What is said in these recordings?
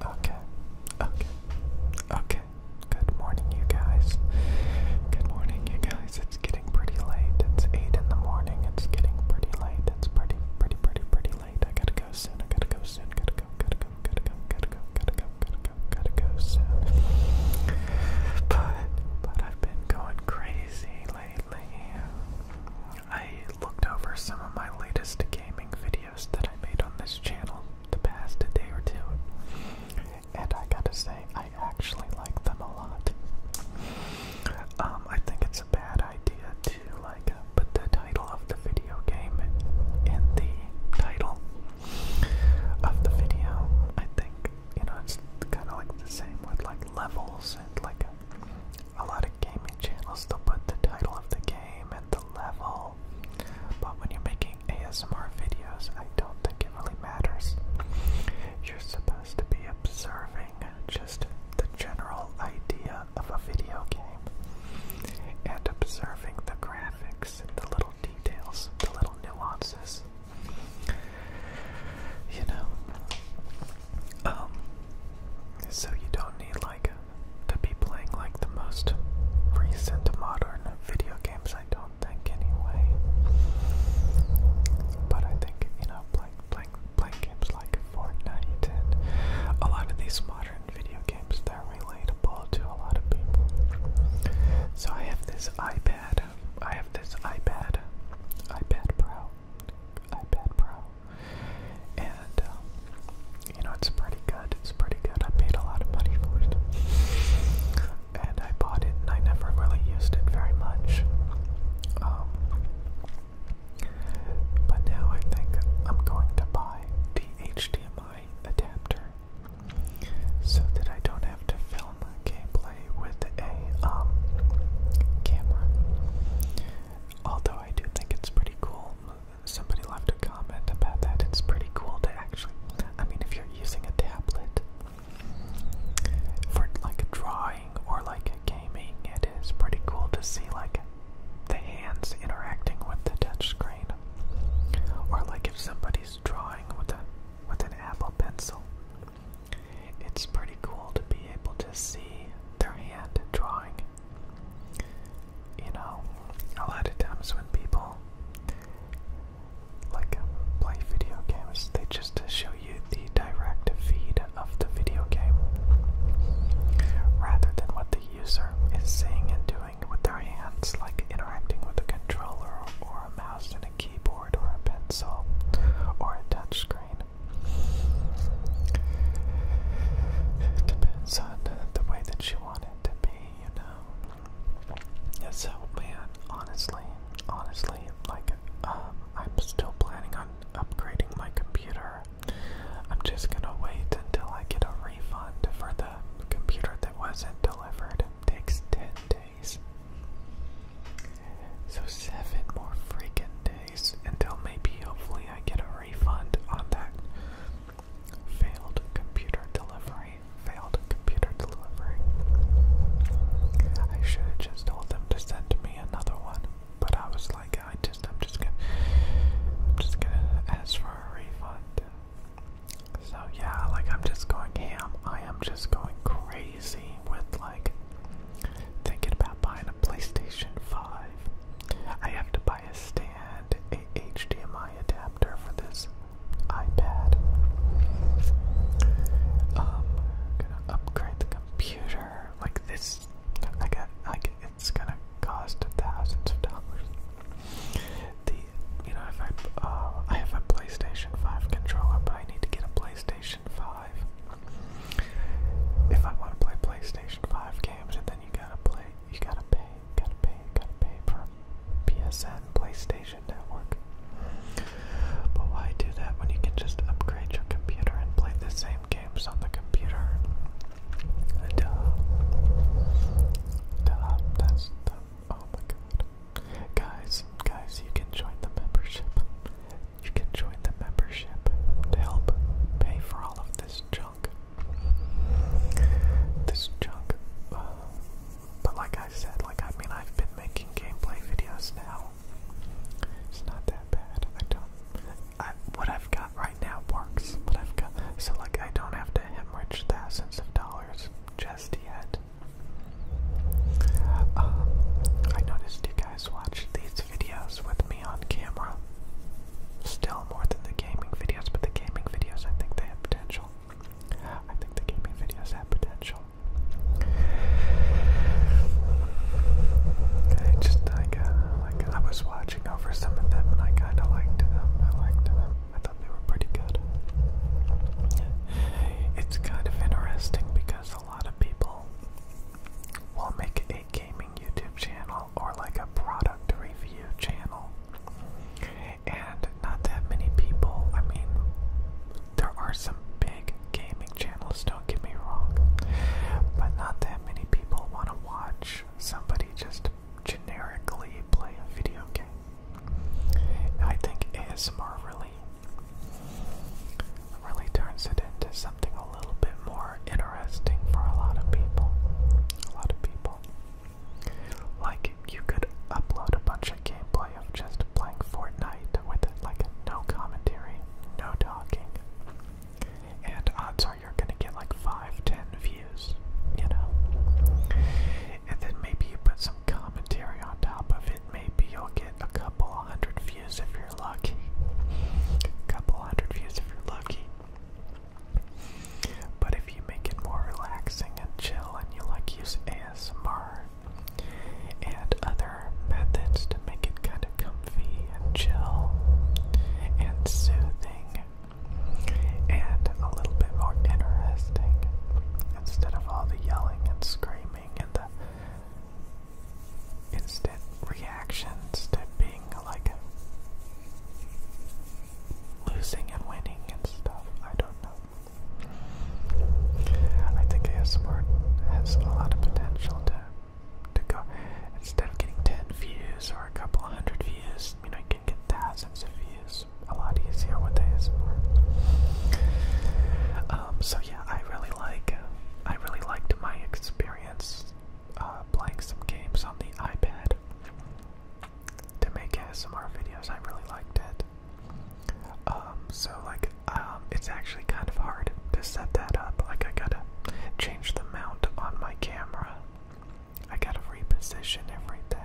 Okay, okay, okay. Good morning, you guys. Good morning, you guys. It's getting pretty late. It's 8 in the morning. It's getting pretty late. It's pretty, pretty, pretty, pretty late. I gotta go soon. I gotta go soon. Gotta go, gotta go, gotta go, gotta go, gotta go, gotta go, soon. But, but I've been going crazy lately. I looked over some of my latest gaming videos that I made on this channel the past day or two, and I gotta say, I actually like them a lot. Um, I think it's a bad idea to like uh, put the title of the video game in the title of the video. I think you know it's kind of like the same with like levels and like uh, a lot of gaming channels they'll put the title of the game and the level, but when you're making ASMR videos, I don't think it really matters. You're supposed to be observing just the general idea of a video game and observing the graphics and the little details, the little nuances you know. Um, so you don't need like to be playing like the most recent modern video games, I don't think anyway. But I think you know blank, blank, blank games like Fortnite and a lot of these modern video games they're relatable to a lot of people. So I have this iPad. I have this iPad, iPad Pro, iPad Pro, and um, you know it's pretty good. It's pretty good. I paid a lot of money for it, and I bought it, and I never really used it very much. Um, but now I think I'm going to buy the HDMI adapter so that I don't have to film gameplay with a um, camera. Although I do think it's pretty cool. Somebody left a comment about that. It's pretty cool to actually. I mean, if you're using a tablet for like drawing or like gaming, it is pretty cool to see like the hands interacting with the touch screen. Or like if somebody's drawing with a with an Apple pencil. It's pretty cool to be able to see their hand drawing. You know, a lot of times when people like play video games, they just show you the direct feed of the video game rather than what the user is seeing and doing with their hands, like interacting with a controller or a mouse keyboard or a pencil or a touchscreen. It depends on the way that you want it to be, you know. And so, man, honestly, honestly, like, um, I'm still planning on upgrading my computer. I'm just gonna wait until I get a refund for the computer that wasn't delivered. takes 10 so, seven more freaking days until maybe hopefully I get a refund on that failed computer delivery. Failed computer delivery. I should have just told them to send me another one, but I was like, I just, I'm just gonna, I'm just gonna ask for a refund. So yeah, like I'm just going ham. I am just going crazy with like thinking about buying a PlayStation 5. I have to buy a stand, a HDMI adapter for this iPad. Um, gonna upgrade the computer. Like this, I got like it's gonna cost thousands of dollars you know, if I uh, I have a PlayStation Five controller, but I need to get a PlayStation Five if I want to play PlayStation Five games, and then you gotta play, you gotta pay, gotta pay, gotta pay for PSN PlayStation Network. But why do that when you can just upgrade your computer and play the same games on the computer? Oh my god. Guys, guys, you can join the membership. You can join the membership to help pay for all of this junk. This junk. but like I said, like I mean, I've been making gameplay videos now. It's not that bad. I don't. I, what I've got right now works. What I've got. So like I don't have to hemorrhage thousands of dollars just yet. Um, I noticed you guys watched these videos with me on camera. Still more than the gaming videos, but the gaming videos, I think they have potential. I think the gaming videos have potential. I just like, uh, I was watching over some of them, and I kind of liked them. I liked them they were pretty good. It's kind of interesting because a lot of people will make a gaming YouTube channel or like a product review channel. And not that many people, I mean, there are some big gaming channels, don't get me wrong, but not that many people want to watch somebody just generically play a video game. I think ASMR really really turns it into something a little bit more interesting for a lot of people. A lot of people. Like you could upload a bunch of gameplay of just playing Fortnite with like no commentary, no talking. And odds are you're gonna get like 5, 10 views you know. And then maybe you put some commentary on top of it. Maybe you'll get a couple hundred views if you're lucky. A couple hundred views if you're lucky. But if you make it more relaxing and chill and you like use ASMR and other methods to make it kind of comfy and chill and soothing and a little bit more interesting instead of all the yelling and screaming and the instant reactions to being like losing and winning and stuff. I don't know. I think ASMR has a lot of potential to to go instead of getting ten views or a couple hundred views, I mean, I can get thousands of views a lot easier with um, so yeah, I really like, uh, I really liked my experience uh, playing some games on the iPad to make ASMR videos. I really liked it. Um, so like, um, it's actually kind of hard to set that up. Like I gotta change the mount on my camera I gotta reposition everything.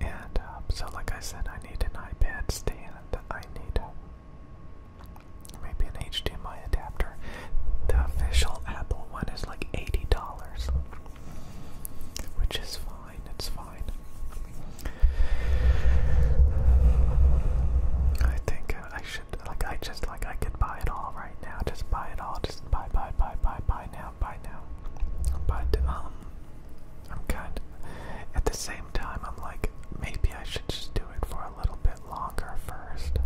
And um, so, like I said, I need an iPad stand. I need a, um, maybe an HDMI adapter. The official Apple one is like $80, which is fine, it's fine. I think uh, I auctioned. Like I just like I could buy it all right now. Just buy it all. Just buy, buy, buy, buy, buy now, buy now. But um, I'm kind. At the same time, I'm like maybe I should just do it for a little bit longer first.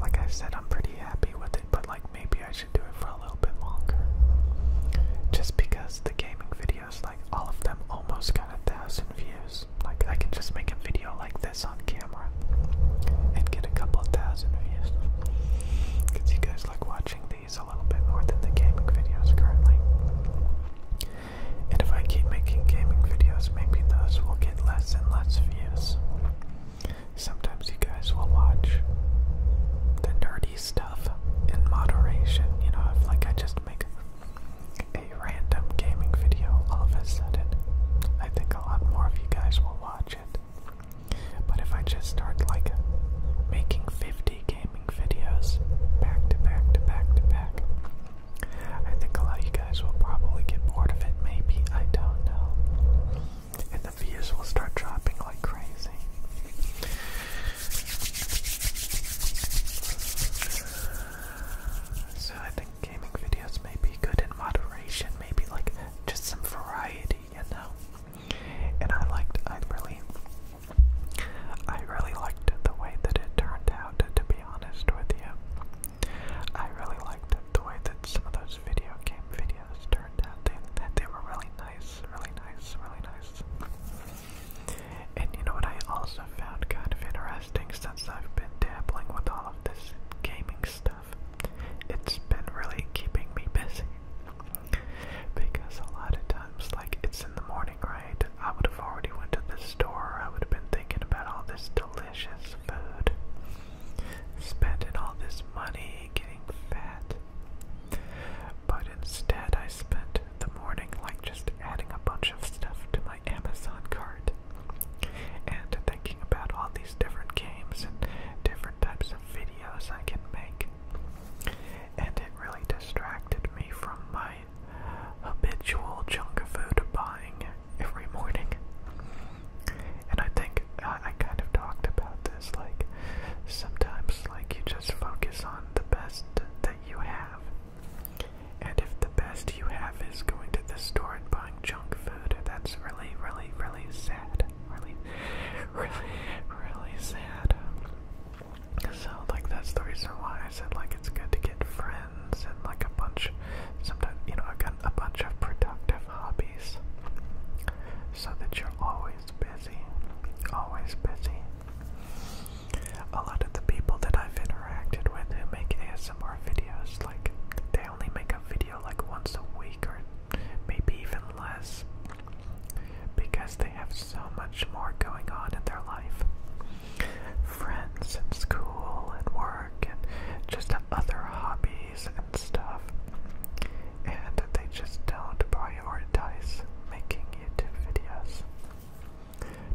Like I said, I'm pretty happy with it, but like maybe I should do it for a little bit longer. Just because the gaming videos, like all of them, almost got a thousand views. Like I can just make a video like that this on camera and get a couple of thousand views. you guys like watching these a little bit more than the gaming videos currently. And if I keep making gaming videos, maybe those will get less and less views. Sometimes you guys will watch the nerdy stuff in moderation, you know, like I just make a random gaming video all of a sudden, I think a lot more of you guys will watch it. But if I just start like making 50 gaming videos back to back to back to back, I think a lot of you guys will probably get bored of it. Maybe, I don't know. And the views will start dropping like crazy. So I gaming videos may be good in moderation, maybe like just some variety, you know. And I liked, I really, I really liked the way that it turned out. To be honest with you, I really liked the way that some of those video game videos turned out. They, they were really nice, really nice, really nice. And you know what I also found kind of interesting podcasting since I've been dabbling with all of this gaming stuff. It's been really keeping me busy. Because a lot of times, like it's in the morning, right? I would have already went to the store. I would have been thinking about all this delicious food, spending all this money, getting fat. But instead, I spent the morning like just adding a bunch of stuff to my Amazon cart and thinking about all these different games and different types of videos I can make. And it really distracted me from my habitual junk food buying every morning. And I think I kind of talked about this like sometimes like you just focus on the best that you have and if the best you have is going to the store and buying junk food, that's really, really, really sad. Really, really, really sad. So, like, that's the reason why I said, like, it's good to get friends and, like, a bunch, sometimes, you know, I've got a bunch of productive hobbies so that you're always busy. Always busy. A lot of the people that I've interacted with who make ASMR videos, like, they only make a video like once a week or maybe even less because they have so much more going on in their life. Friends and school and work and just other hobbies and stuff. And they just don't prioritize making YouTube videos.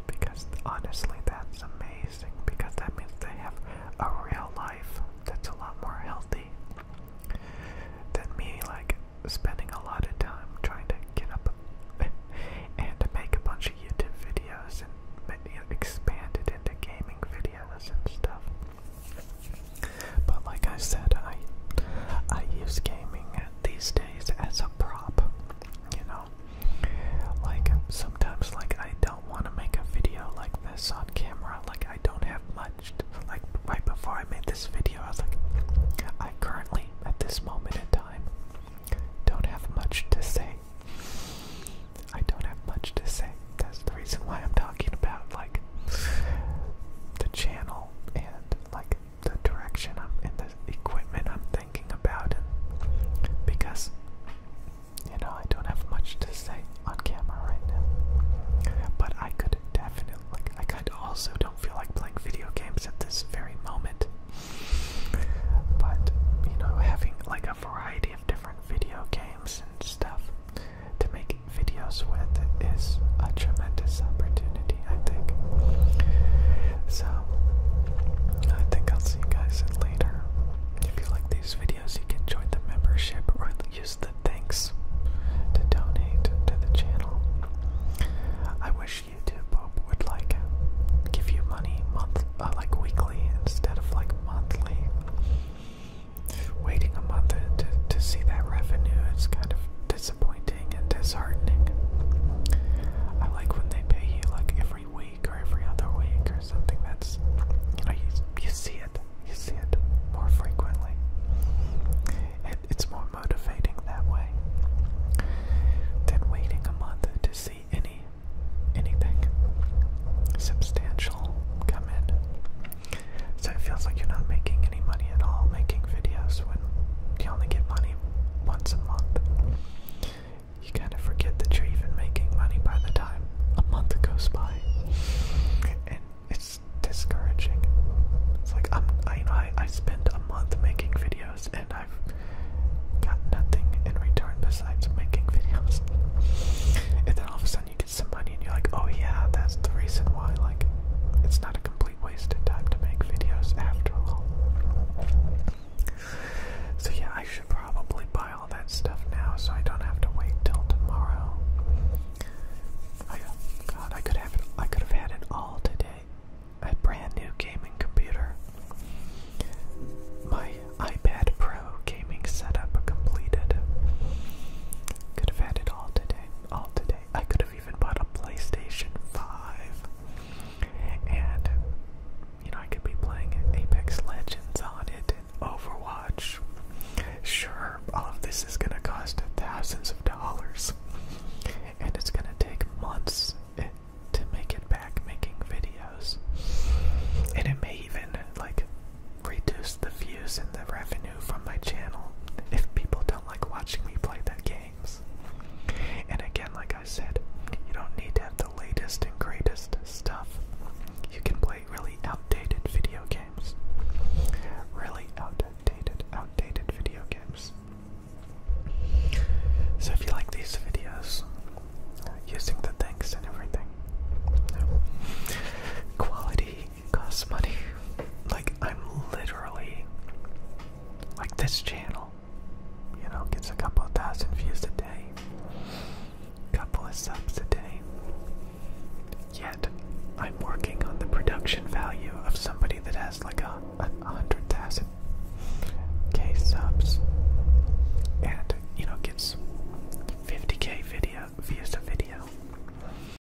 Because honestly, that's amazing. Because that means they have a real life that's a lot more healthy than me, like spending a lot of time trying to get up and make a bunch of YouTube videos and expand it into gaming videos and stuff. But like I said, I I use gaming these days as a prop. You know, like, sometimes, like, I don't want to make a video like this on camera. Like, I don't have much. To, like, right before I made this video, I was like, I currently, at this moment in time, don't have much to say. I don't have much to say. That's the reason why I'm talking about, like, the channel and, like, the direction I'm in the equipment I'm thinking about because you know I don't have much to say on camera right now. But I could definitely like I could also don't feel like playing video games at this very moment. But you know having like a variety of different video games and stuff to make videos with is a tremendous opportunity. I think. So, I think I'll see you guys later. If you like these videos, you can join the membership or use the thanks to donate to the channel. I wish YouTube would like give you money month, uh, like weekly instead of like monthly. Waiting a month to, to see that revenue is kind of dis disappointing and disheartening. I like when they pay you like every week or every other week or something that's, you know, you, you see it. You see it more frequently. it's more motivating that way than waiting a month to see any anything substantial come in. So it feels like you're not making any money at all making videos when you only get money once a month. You kind of forget that you're even making money by the time a month goes by. And it's discouraging. It's like I'm, I, I, I a month making videos and I've got nothing in return besides making videos. And then all of a sudden you get some money and you're like, oh yeah, that's the reason why. Like, it's not a complete wasted time to make videos after all. So yeah, I should probably buy all that stuff now so I don't have to wait till tomorrow. I, oh God, I could have I could have had it all today. A brand new gaming computer. My iPad Pro gaming setup completed. Could have had it all today. All today. I could have I've even bought a PlayStation 5. And, you know, I could be playing Apex Legends on it and Overwatch. Sure, all of this is gonna cost thousands of dollars. And it's gonna take months eh, to make it back making videos. And it may even, like, reduce the views and the revenue from my channel if people don't like watching me play the games. And again, like I said, you don't need to have the latest and greatest stuff. You can play really outdated video games. Really outdated, outdated video games. So if you like these videos, using the thanks and everything, quality costs money. Like, I'm literally. Like, this channel, you know, gets a couple thousand views a day, couple of subs a day. Yet, I'm working on the production value of somebody that has like a, a hundred thousand K subs and, you know, gets 50K video, views a video.